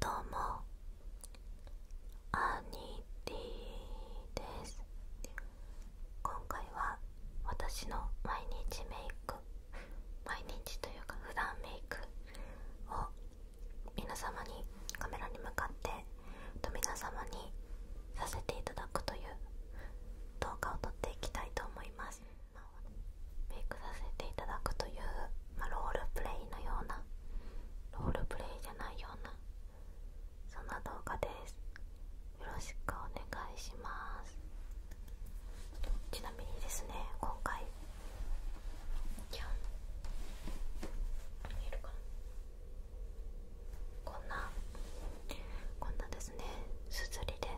どうもアニテです今回は私の毎日メイク毎日というか普段メイクを皆様にカメラに向かってと皆様にさせていただくという動画を撮っていきたいと思いますメイクさせていただくという、まロールプレイのようなロールプレイじゃないようなそんな動画ですよろしくお願いしますちなみにですね今回こんなこんなですねすずりで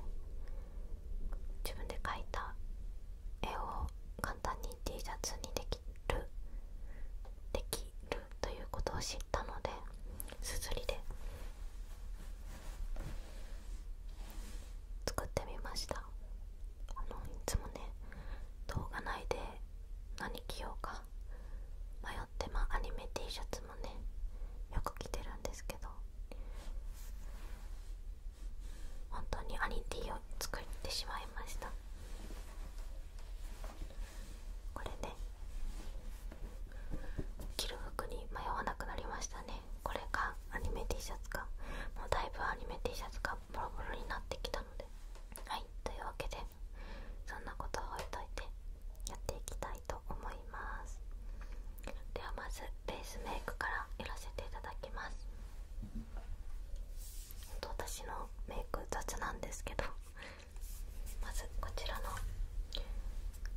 自分で描いた絵を簡単に T シャツにできるできるということを知ったのですずりで作ってみましたあのいつもね動画内で何着ようか迷ってまあアニメ T シャツもねよく着てるんですけど本当にアニティを作ってしまいましたこれね着る服に迷わなくなりましたねこれかアニメ T シャツかもうだいぶアニメ T シャツがボロボロになってきたのではいというわけでそんなことを置いといてやっていきたいと思いますではまずベースメイクからやらせていただきます私のメイク雑なんですけどまずこちらの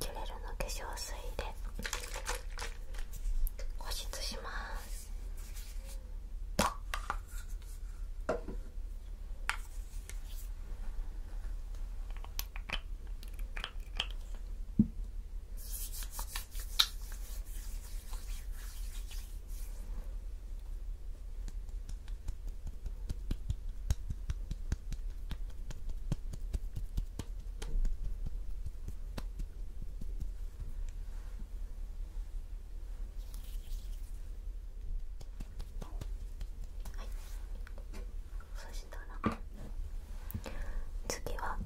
キュレルの化粧水で保湿しますはい、そしたら次は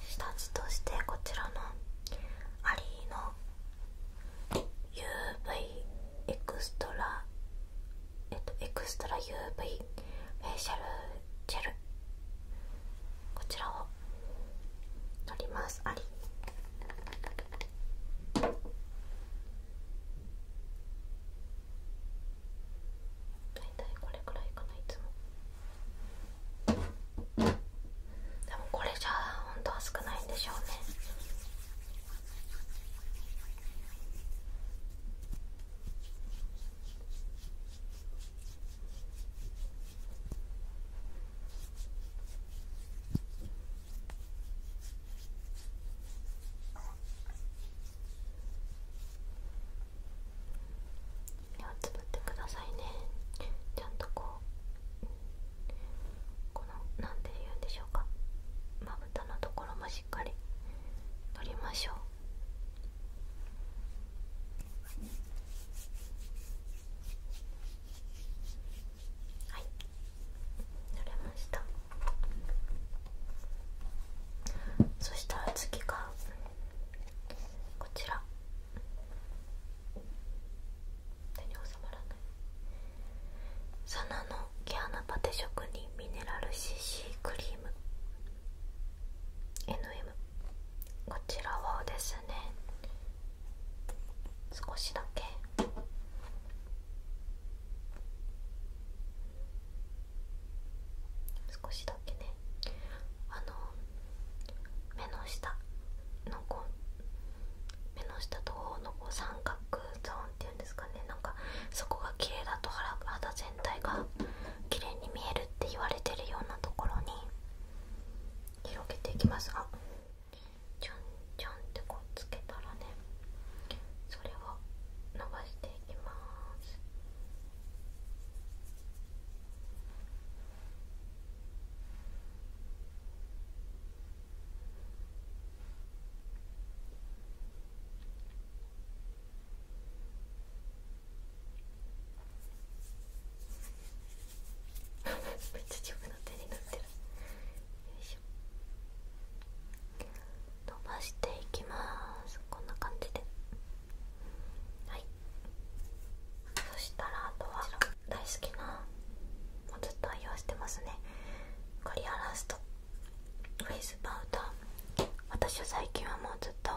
下地としてこちらのアリーの UV エクストラえっとエクストラ UV フェイシャルジェルこちらを取りますアリー大体これくらいかないつもでもこれじゃあ本当は少ないんでしょうね目をつぶってくださいねちゃんとこうこの何て言うんでしょうかまぶたのところもしっかり取りましょうはい取れましたそしたら次がこちら手に収まらないサナの毛穴パテ職人ミネラル CC クリーム NM こちらはですね少しだけ少しだけねあの目の下のこ目の下と方のこう三角ゾーンっていうんですかねなんかそこが綺麗だと肌全体が綺麗に見えるって言われてるようなところに広げていきますがちょんちょんってこうつけたらねそれを伸ばしていきます。めっちゃ丈夫な手になってるよいしょ伸ばしていきますこんな感じではいそしたらあとは大好きなもうずっと愛用してますねクリアラストフェイスパウダー私は最近はもうずっと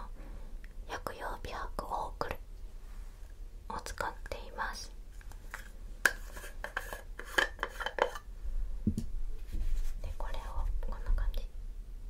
薬用美白オークルを使っていますでこれをこんな感じ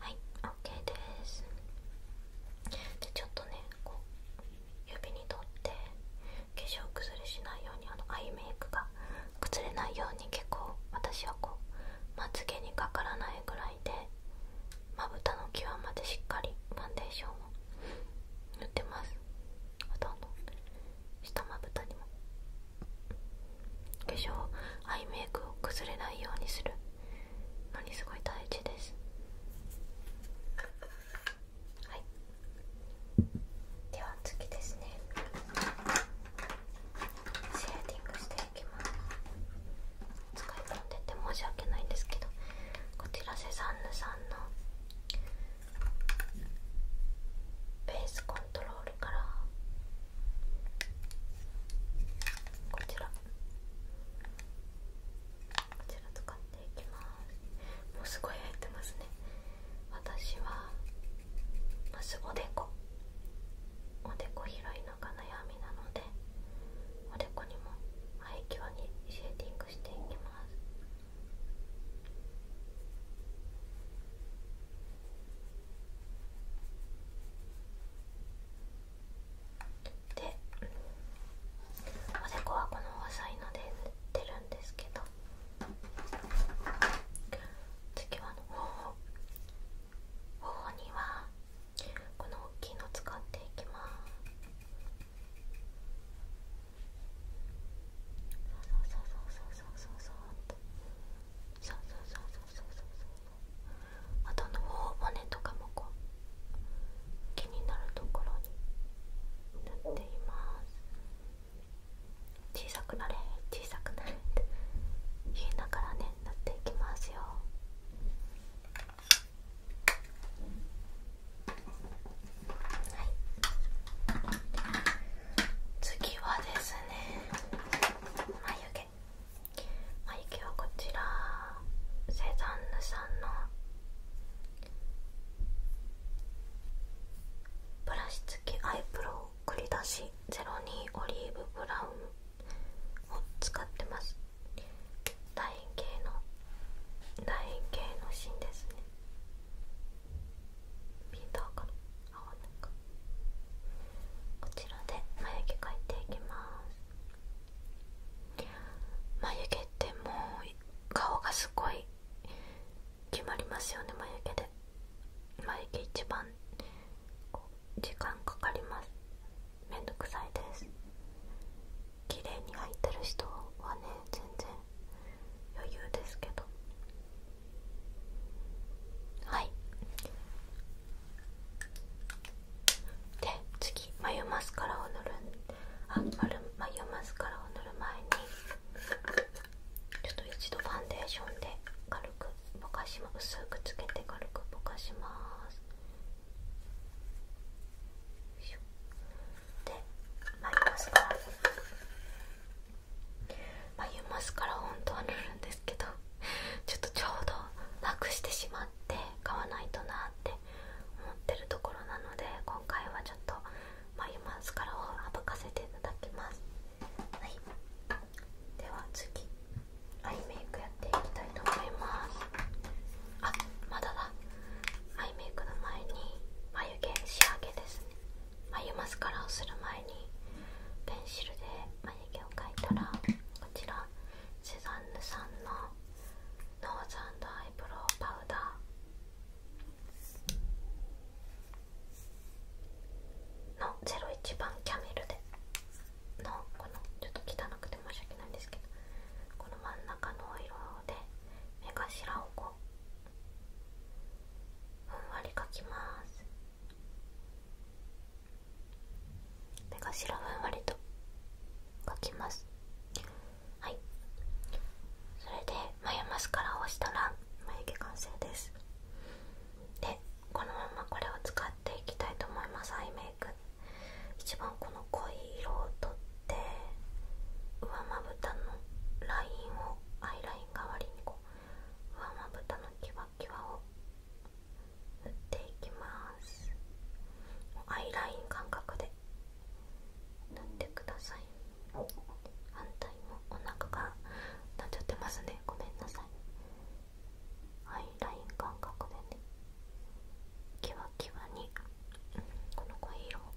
はい、OK ですでちょっとねこう指に取って化粧崩れしないようにあのアイメイクが崩れないように結構私はこうまつ毛にかからないぐらいでまぶたの際までしっかりファンデーションを塗ってますほとんど下まぶたにも化粧アイメイクを崩れないようにするのにすごい大事ですはいでは次ですねシェーディングしていきます使い込んでて申し訳ないんですけどこちらセザンヌさんのベースコントロールからこちらこちら使っていきますもうすごい焼いてますね私はまずおでこおでこ広いのが悩みなのでおでこにも前際にシェーティングしていきますでおでこはこの細いので塗ってるんですけど次は頬頬にはこの大きいの使っていきますそうそうそうそうそうそうそうそうそうそうそうそうあとの頬骨とかもこう気になるところになっています。小さくなれ小さくなれって言いながらね塗っていきますよはい次はですね眉毛眉毛はこちらセザンヌさんのブラシ付きアイブロ繰り出し02オリーブブラウン使ってます楕円形の楕円形の芯ですねこちらで眉毛描いていきます眉毛ってもう顔がすごい決まりますよね眉毛で眉毛一番時間かかりますめんどくさいです綺麗に入ってる人はね全然余裕ですけどはいで次眉マスカラを塗るあ丸眉マスカラを塗る前にちょっと一度ファンデーションで軽くぼかします。薄くつけて軽くぼかしますで眉マスカラ眉マスカラ本当は塗るんですけどちょっとちょうどなくしてしまって買わないとなって思ってるところなので今回はちょっと眉マスカラを省かせていただきますはいでは次アイメイクやっていきたいと思いますあまだだアイメイクの前に眉毛仕上げですね眉マスカラをする前にペンシルで眉毛を描いたらこちらセザンヌさんのノーズアイブロウパウダーの01番キャメルでのこのちょっと汚くて申し訳ないんですけどこの真ん中のお色で目頭をこうふんわり描きます目頭ふんわりと描きますはいそれで眉マスカラをしたら眉毛完成ですでこのままこれを使っていきたいと思いますアイメイク一番この濃い色をとって上まぶたのラインをアイライン代わりにこう上まぶたのキワキワを塗っていきますアイライン感覚で塗ってください反対もお腹がなっちゃってますねごめんなさいアイライン感覚でねキワキワにこの濃い色をの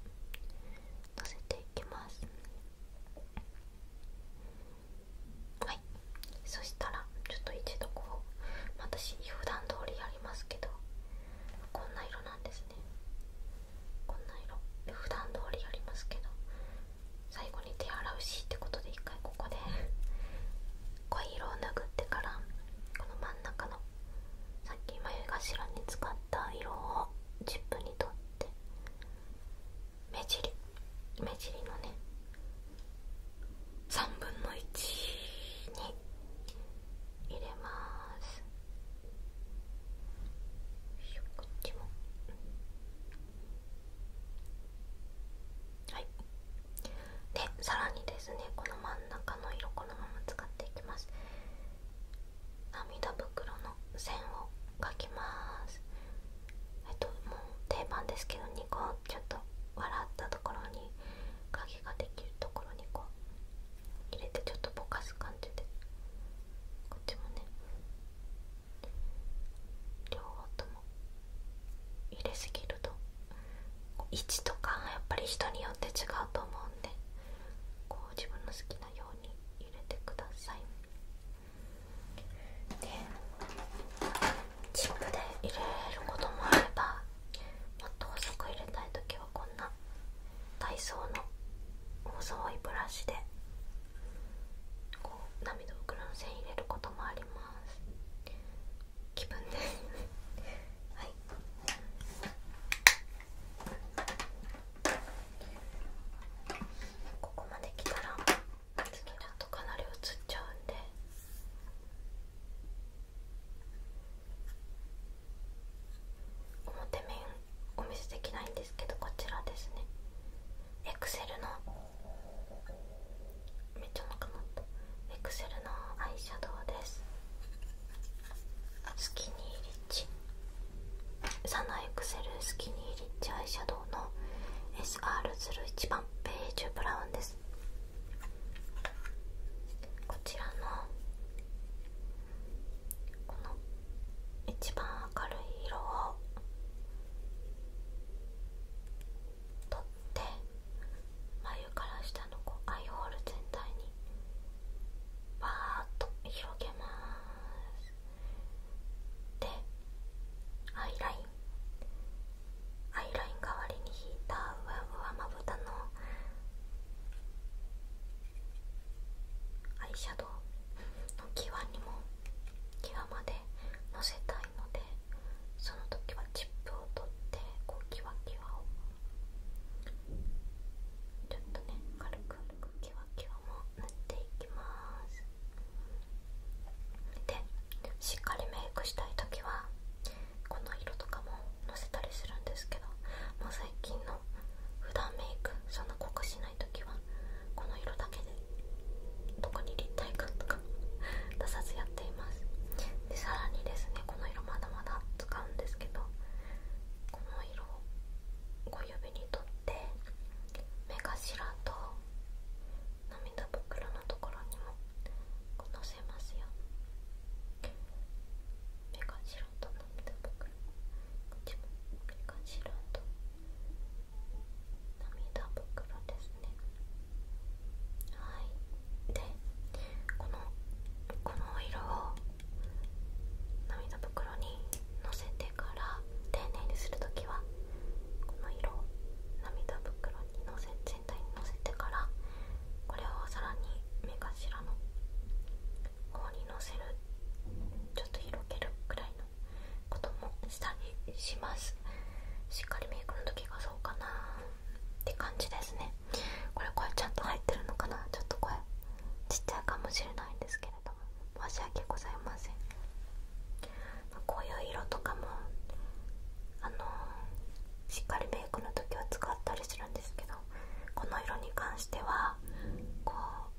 せていきますはいそしたらちょっと一度こう私普段通りやりますけどこんな色なんですねこんな色普段通りやりますけど最後に手洗うしってことで1回ここで濃い色を拭ってからこの真ん中のさっき眉頭に使った色をチップに取って目尻目尻のね3分の1に入れますこっちもはいでさらにですねこの真ん中の色このまま使っていきます涙袋の線を描きますえっともう定番ですけど2個ちょっと笑ったところに影ができるところにこう入れてちょっとぼかす感じでこっちもね両方とも入れすぎると位置とかやっぱり人によって違うと思うんでこう自分の好きなように入れてくださいでチップで入れることもあればもっと細く入れたい時はこんな体操の細いブラシでこ涙袋の線入れることもあります気分です はいここまで来たら次っとかなり映っちゃうんで表面お見せできないんですけどこちらですねエクセルのめっちゃなくなったエクセルのアイシャドウですスキニーリッチサナエクセルスキニーリッチアイシャドウの SR01 番ベージュブラウンですこちらのこの一番明るい色を取って眉から下のこうアイホール全体にバーっと広げますでアイラインアイライン代わりに引いた上、わまぶたのアイシャドウの際にも際までのせたいのでその時はチップを取ってこうキワキワをちょっとね軽く軽くキワキワも塗っていきますでしっかりメイクしたい時はこの色とかものせたりするんですけどもう最近の普段メイクそんな濃くしない時はこの色だけでどこに立体感とか出さずやっていますでさらにですねこの色まだまだ使うんですけどこの色を小指にとって目頭と涙袋のところにものせますよ涙ばか白と涙袋ですねはいでこのこの色を涙袋にのせてから丁寧にする時はこの色を涙袋にのせ全体にのせてからこれをさらに目頭のこうにのせるちょっと広げるくらいのこともしたりしますしっかりメイクの時がそうかなって感じですねこれ声ちゃんと入ってるのかなちょっとこれちっちゃいかもしれないんですけれども申し訳ございませんこういう色とかもあのしっかりメイクの時は使ったりするんですけどこの色に関してはこう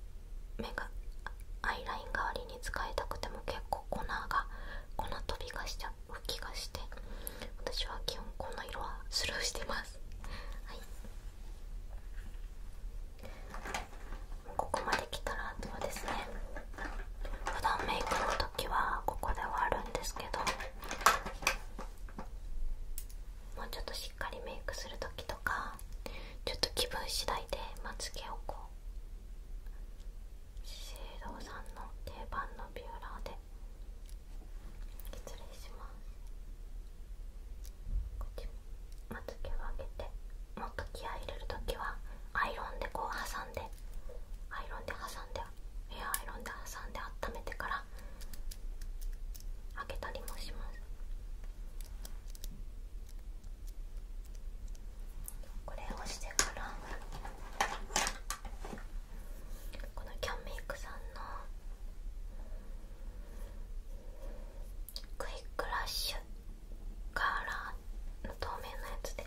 目がアイライン代わりに使いたくても結構粉が粉飛びがしちゃう気がして私は基本この色はスルーしてますはいここまで来たらあとはですね普段メイクの時はここではあるんですけどもうちょっとしっかりメイクする時とかちょっと気分次第でまつ毛をこう資生堂さんの定番のビューラーでまこっちまつ毛を上げてもっと気合い入れる時はアイロンでこう挟んでアイロンで挟んでエアアイロンで挟んで温めてから上けたりもしますこれをしてからこのキャンメイクさんのクイックラッシュカーラーの透明なやつで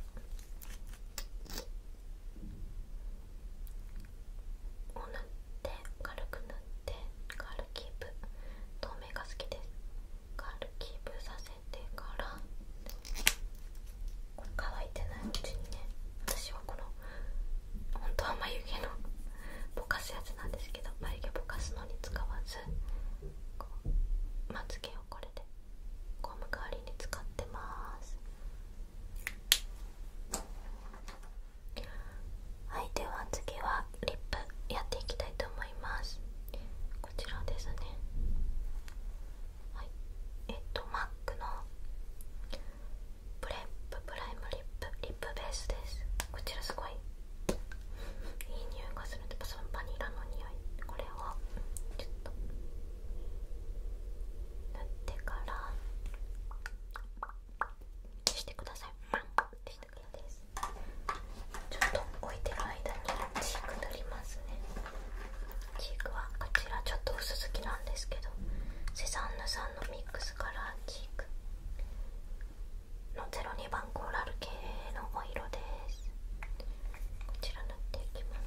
こう塗って軽く塗って軽く。キープ透明が好きです軽くキープさせてから乾いてないうちにね私はこの本当は眉毛のぼかすやつなんですけど眉毛ぼかすのに使わずこうまつ毛をこれでゴム代わりに使ってます。はいでは次はリップやっていきたいと思いますこちらですねはいえっとマックのプレッププライムリップリップベースですこちらすごいいい匂いがするんでパソンバニラの匂いこれをちょっと塗ってからしてください。ちょっと置いてる間にチーク塗りますねチークはこちらちょっと薄付きなんですけどセザンヌさんのミックスカラチークの02番コーラル系のお色ですこちら塗っていきま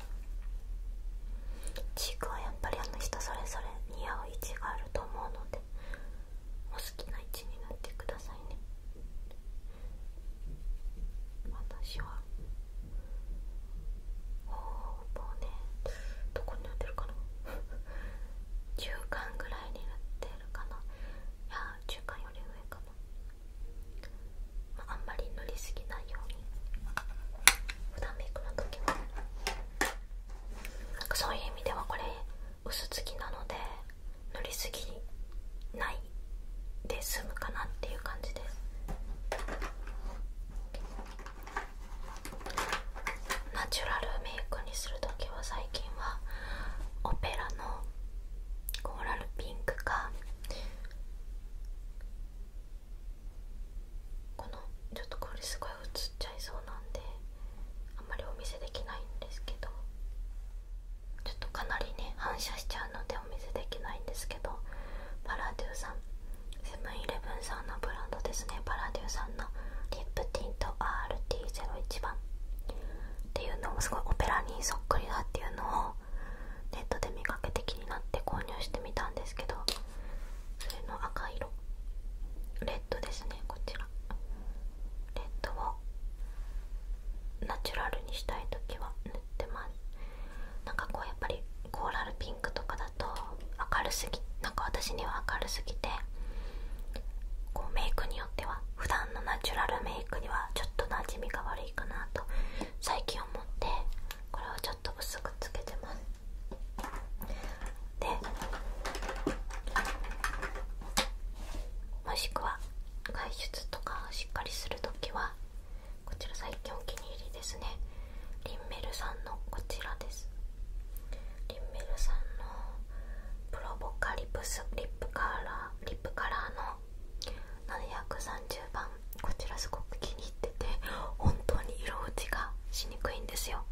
すチークはやっぱりあの人それぞれ似合う位置があると思うのでお好きな位置になってくださいね私はほぼねどこになってるかな中間ぐらいになってるかないや中間より上かな、あ、んまり塗りすぎないように普段メイクの時はなんかそういう意味ではこれ薄付きなので塗りすぎないで済むかなっていう感じですナチュラルメイクにするときは最近はオペラのコーラルピンクかこのちょっとこれすごい映っちゃいそうなんであんまりお見せできないんですけどちょっとかなりね反射しちゃうのでお見せできないんですけどパラデューさんセブンイレブンさんのブランドですねパラデューさんのリップティント RT01 番っていうのもすごいオペラにそっくりだっていうのをネットで見かけて気になって購入してみたんですけどそれの赤色レッドですねこちらレッドをナチュラルにしたい時は塗ってますなんかこうやっぱりコーラルピンクとかだと明るすぎなんか私には明るすぎてこうメイクによっては普段のナチュラルメイクにはちょっとなじみが悪いかなと最近思ってこれをちょっと薄くつけてますでもしくは外出とかしっかりするときはこちら最近お気に入りですねリンメルさんのこちらですリンメルさんのプロボカリプスリップカラーリップカラーの730番こちらすごく気に入ってて本当に色落ちがしにくいんですよ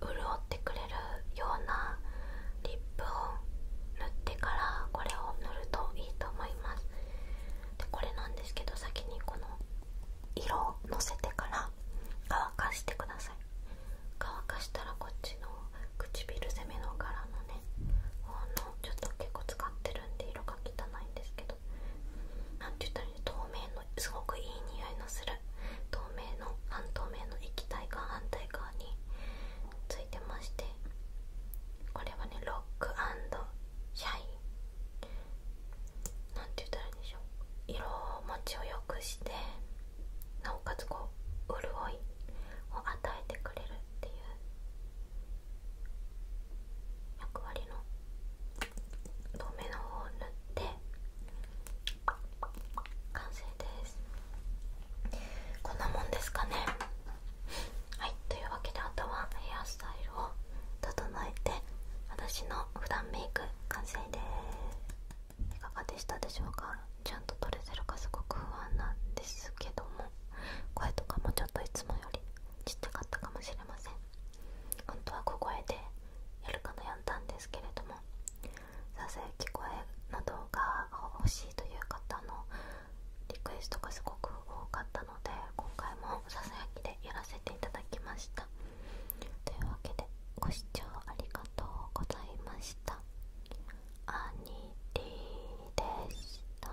潤ってくれるようなリップを塗ってからこれを塗るといいと思いますでこれなんですけど先にこの色をのせてから乾かしてください乾かしたらこっちの唇攻めの柄のね方のちょっと結構使ってるんで色が汚いんですけど何て言ったらね。透明のすごくいい匂いのする透明の半透明の液体が反対側についてましてこれはねロックシャイなんて言ったらいいんでしょう色持ちを良くしてなおかつこう潤いを与えてくれるっていう役割の透明の方を塗っっ完成ですこんなもんですかねはいというわけであとはヘアスタイルを整えて私の普段メイク完成ですいかがでしたでしょうかちゃんと取れてるかすごく不安なんですけども声とかもちょっといつもよりちっちゃかったかもしれません本当は小声でやるかやんだんですけれどもささやき声などが欲しいという方のリクエストがすごく多かったので今回もささやきでやらせていただきましたというわけでご視聴ありがとうございましたアニリーでした